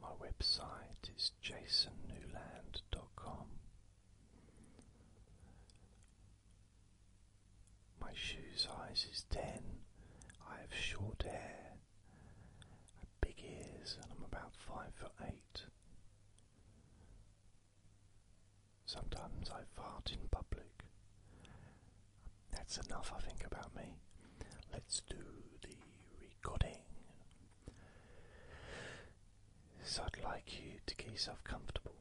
My website is jasonnewland.com. My shoe size is 10. I have short hair, big ears, and I'm about 5 foot 8. Sometimes I fart in public. That's enough, I think, about me. Let's do the recording. So I'd like you to get yourself comfortable.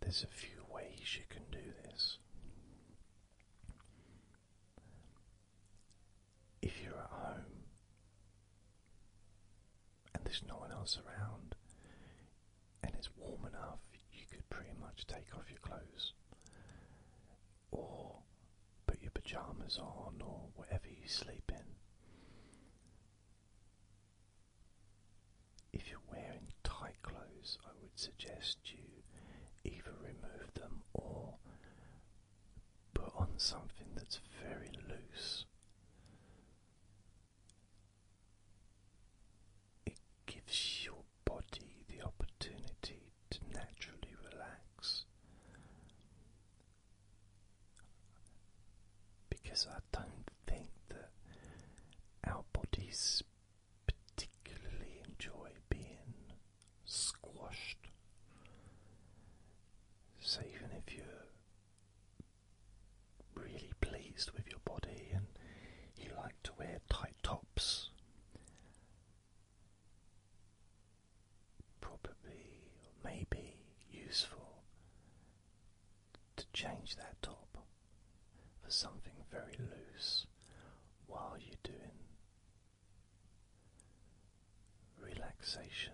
There's a few ways you can do this. If you're at home and there's no one else around and it's warm enough, you could pretty much take off your clothes or put your pajamas on or whatever you sleep in. If you're wearing tight clothes, I would suggest you either remove them or put on something that's very loose it gives your body the opportunity to naturally relax. Because I don't think that our bodies particularly enjoy being squashed. So, even if you're really pleased with your body and you like to wear tight tops, probably maybe useful to change that top for something very loose while you're doing relaxation,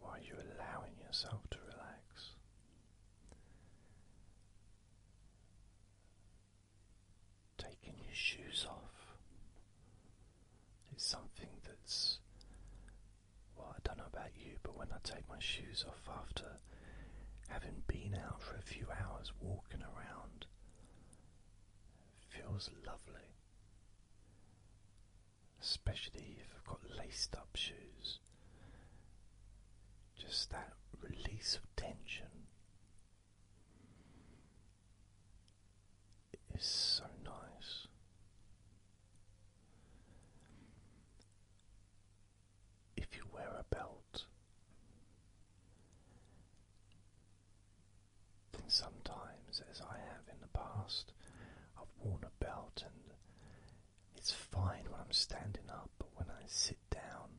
while you're allowing yourself to relax. Taking your shoes off is something that's. Well, I don't know about you, but when I take my shoes off after having been out for a few hours walking around, feels lovely. Especially if I've got laced up shoes just that release of tension is so nice. If you wear a belt, then sometimes, as I have in the past, I've worn a belt and it's fine when I'm standing up, but when I sit down,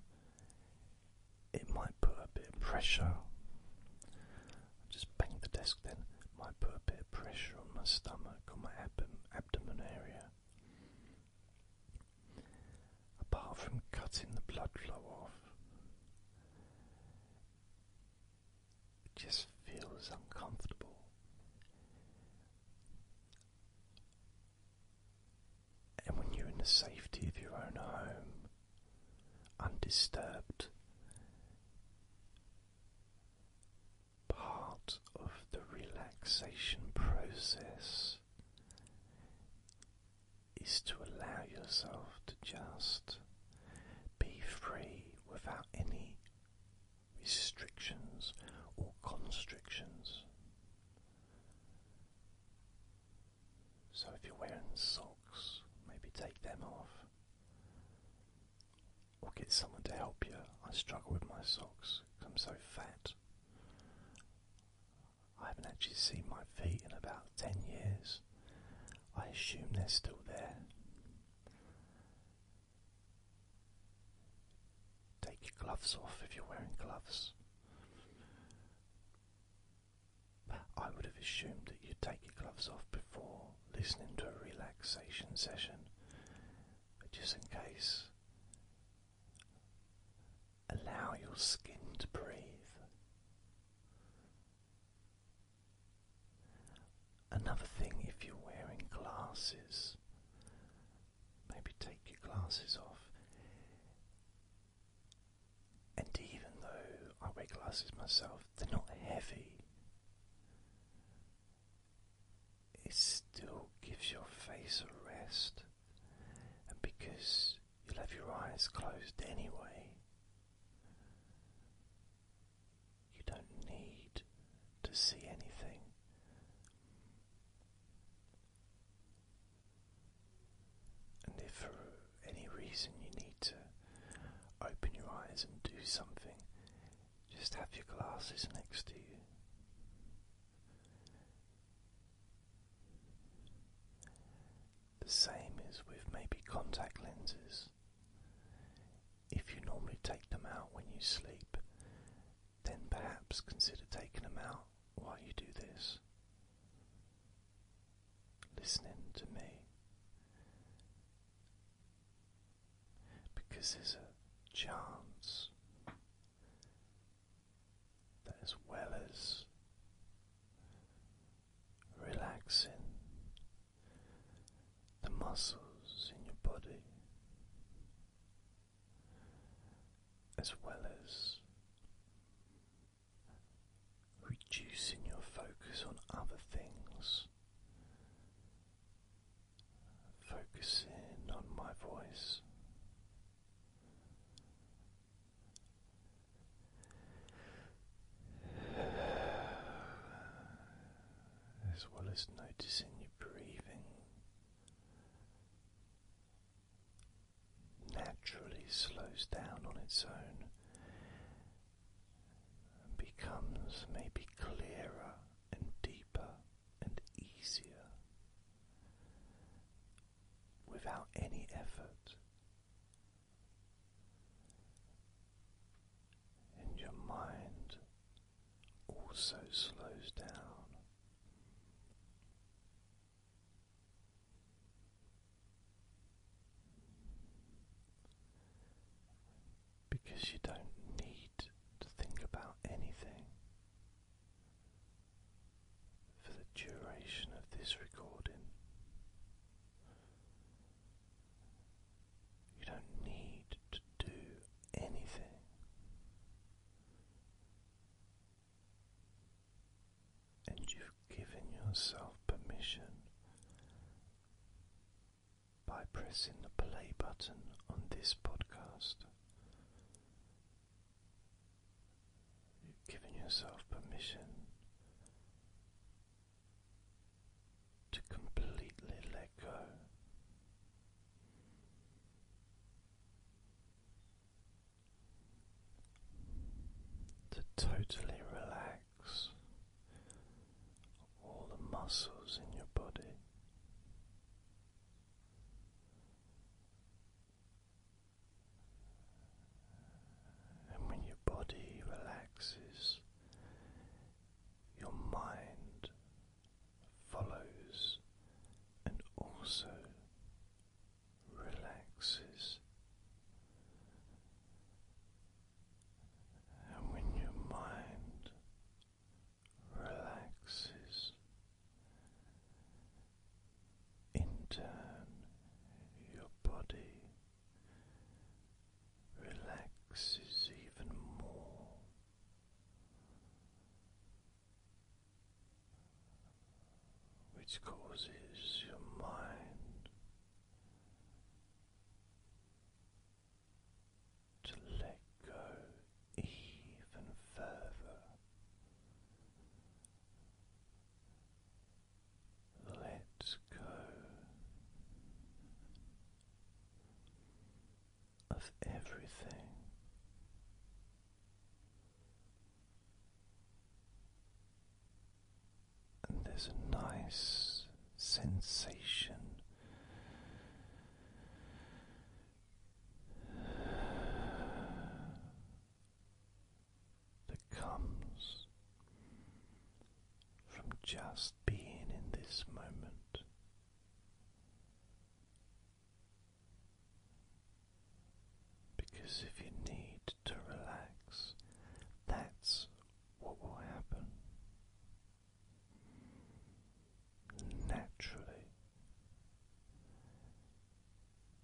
it might put a bit of pressure. i just bang the desk then, might put a bit of pressure on my stomach, on my abdomen area. Apart from cutting the blood flow off, it just feels uncomfortable. And when you're in the safety of your own home, undisturbed, part of the relaxation process is to allow yourself to just be free without any restrictions or constrictions. So, if you're wearing socks, maybe take them off. Or get someone to help you. I struggle with my socks I'm so fat. I haven't actually seen my feet in about 10 years. I assume they're still there. Take your gloves off if you're wearing gloves. I would have assumed that you'd take your gloves off before listening to a relaxation session, but just in case, allow your skin to breathe. Another thing, if you're wearing glasses, Maybe take your glasses off. And even though I wear glasses myself, they're not heavy. It still gives your face a rest, and because you'll have your eyes closed anyway, you don't need to see anything and if for any reason you need to open your eyes and do something, just have your glasses next to you. The same is with maybe contact lenses. If you normally take them out when you sleep, then perhaps consider taking them out while you do this. Listening to me. Because there's a chance that, as well as relaxing the muscles in your body, as well as reducing your focus on other things, focusing on my voice. As well as noticing your breathing naturally slows down on its own and becomes maybe clearer and deeper and easier without any effort. And your mind also slows down. Because you don't need to think about anything for the duration of this recording, you don't need to do anything and you've given yourself permission by pressing the play button on this podcast. You've given yourself permission to completely let go to totally relax all the muscles in your body. And when your body relaxes, your mind follows and also relaxes. And when your mind relaxes, in turn, your body relaxes even more which causes your mind to let go even further. Let go of everything. And there's a nice sensation that comes from just being in this moment. Because if you need to relax, that's what will happen naturally.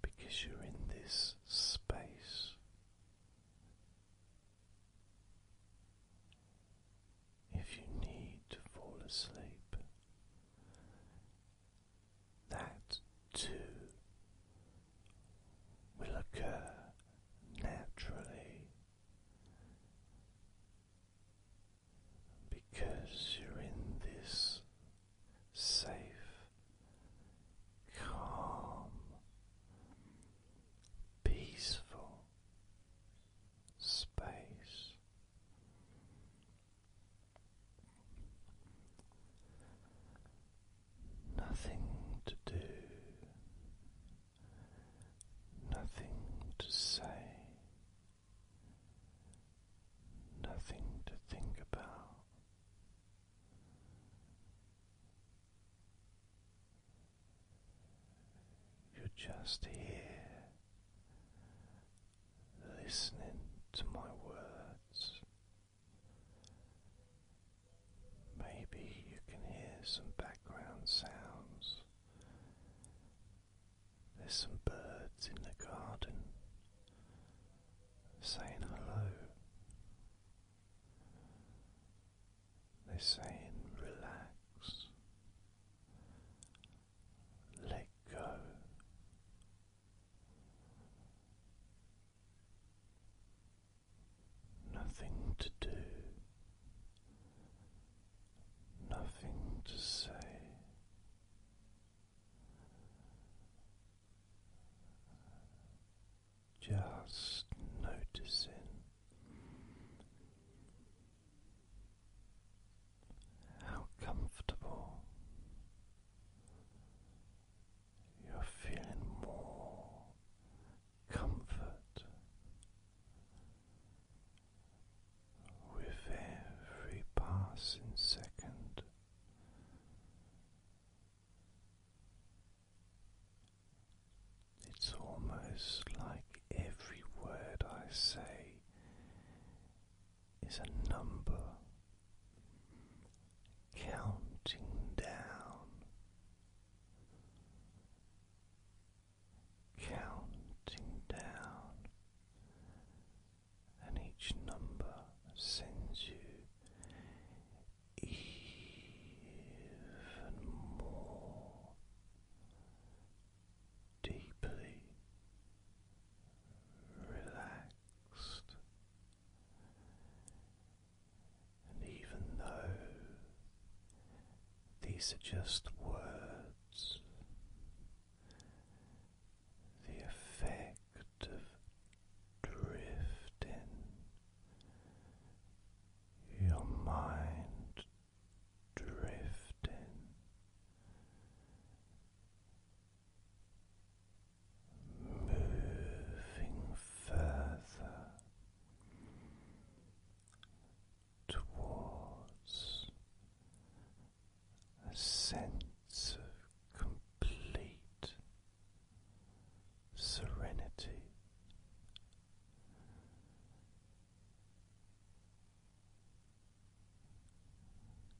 Because you're in this space if you need to fall asleep, that too will occur naturally because you're in this safe, calm, peaceful space. Nothing to do, nothing to say, nothing to think about. You're just here listening to my words. Maybe you can hear some background sounds. There's some birds in the garden saying hello. They're saying relax, let go. Nothing to do, nothing to say. Just noticing how comfortable you're feeling more comfort with every passing second. It's almost like every word I say is a number counting down, counting down, and each number sends you even more deeply relaxed, and even though these are just words, the effect of drifting. Your mind drifting, moving further towards a sense of complete serenity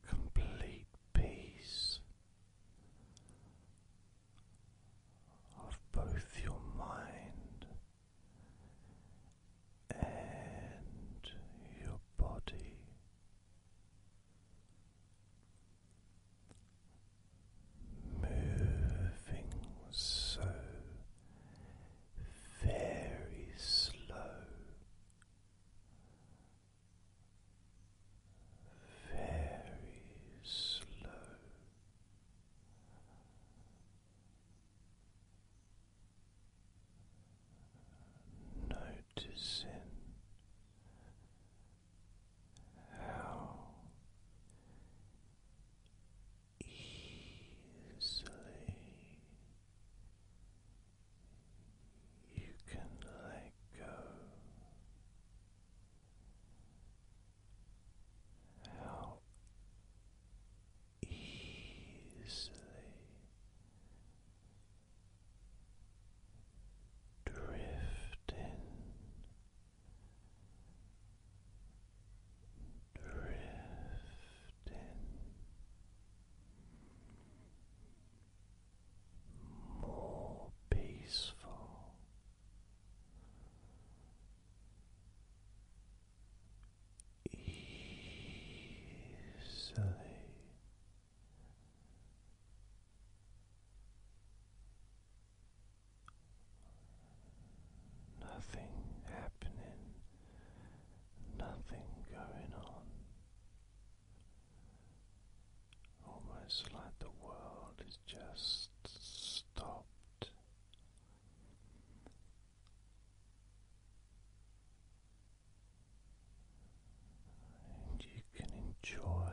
complete peace of both your mind and your body. Moving so very slow, very slow. Noticing how easily you can let go. How easily drifting drifting more peaceful. Easily nothing happening, nothing going on. Almost like the world is just stopped. And you can enjoy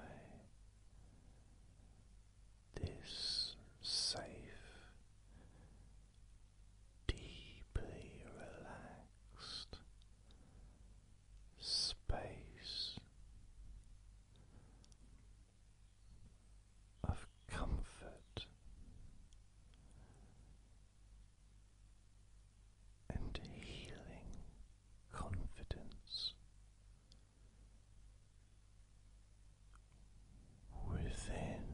this safe, deeply relaxed space of comfort and healing confidence within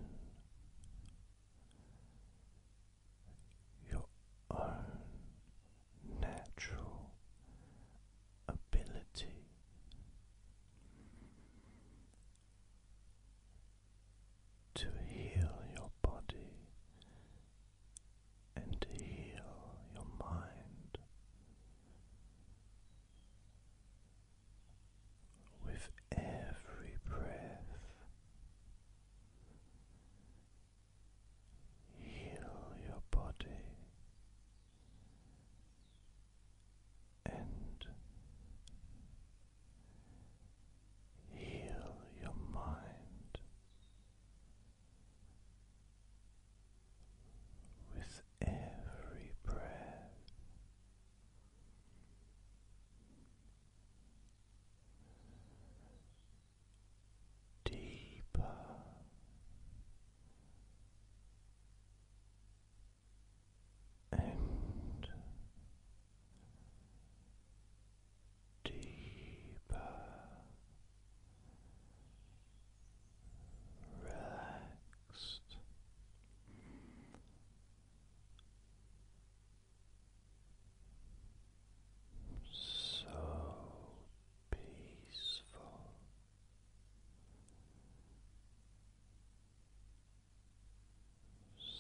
your own natural ability. To heal your body and to heal your mind, with every breath. Heal your body and heal your mind with every breath deeper. And deeper relaxed so peaceful.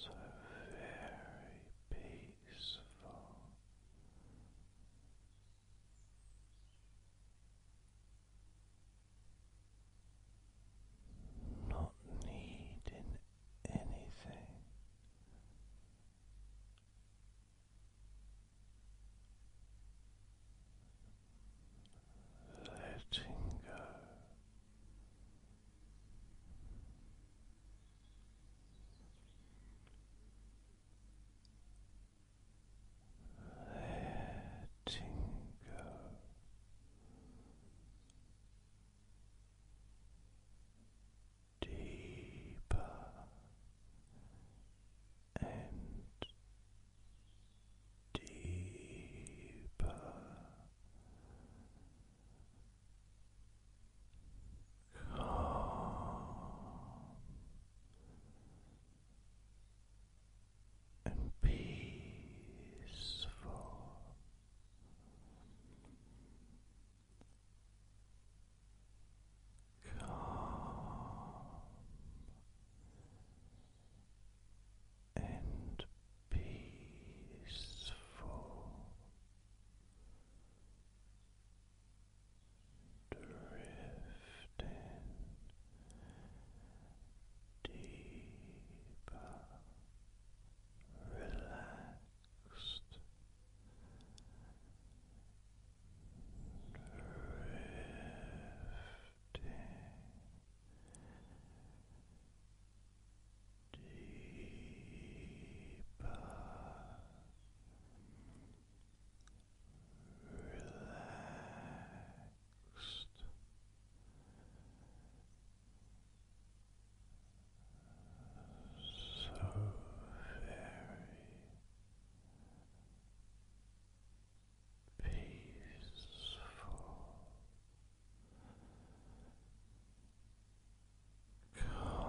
So very peaceful not needing anything. Letting go letting go. Deeper and deeper, calm and peaceful. Calm and peaceful drifting drifting deeper, relaxed, drifting deeper. Relaxed, so very peaceful, calm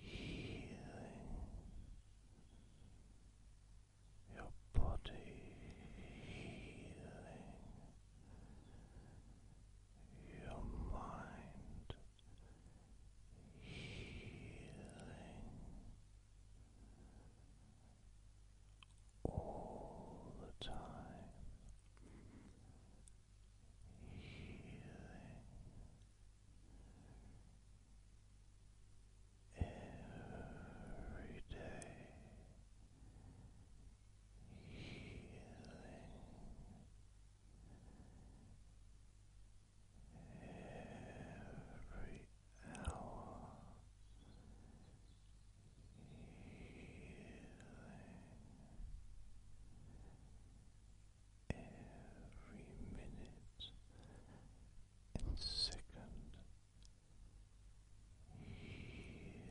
healing your body, healing your mind, healing all the time. Healing every day healing every hour healing every minute and second healing. Healing.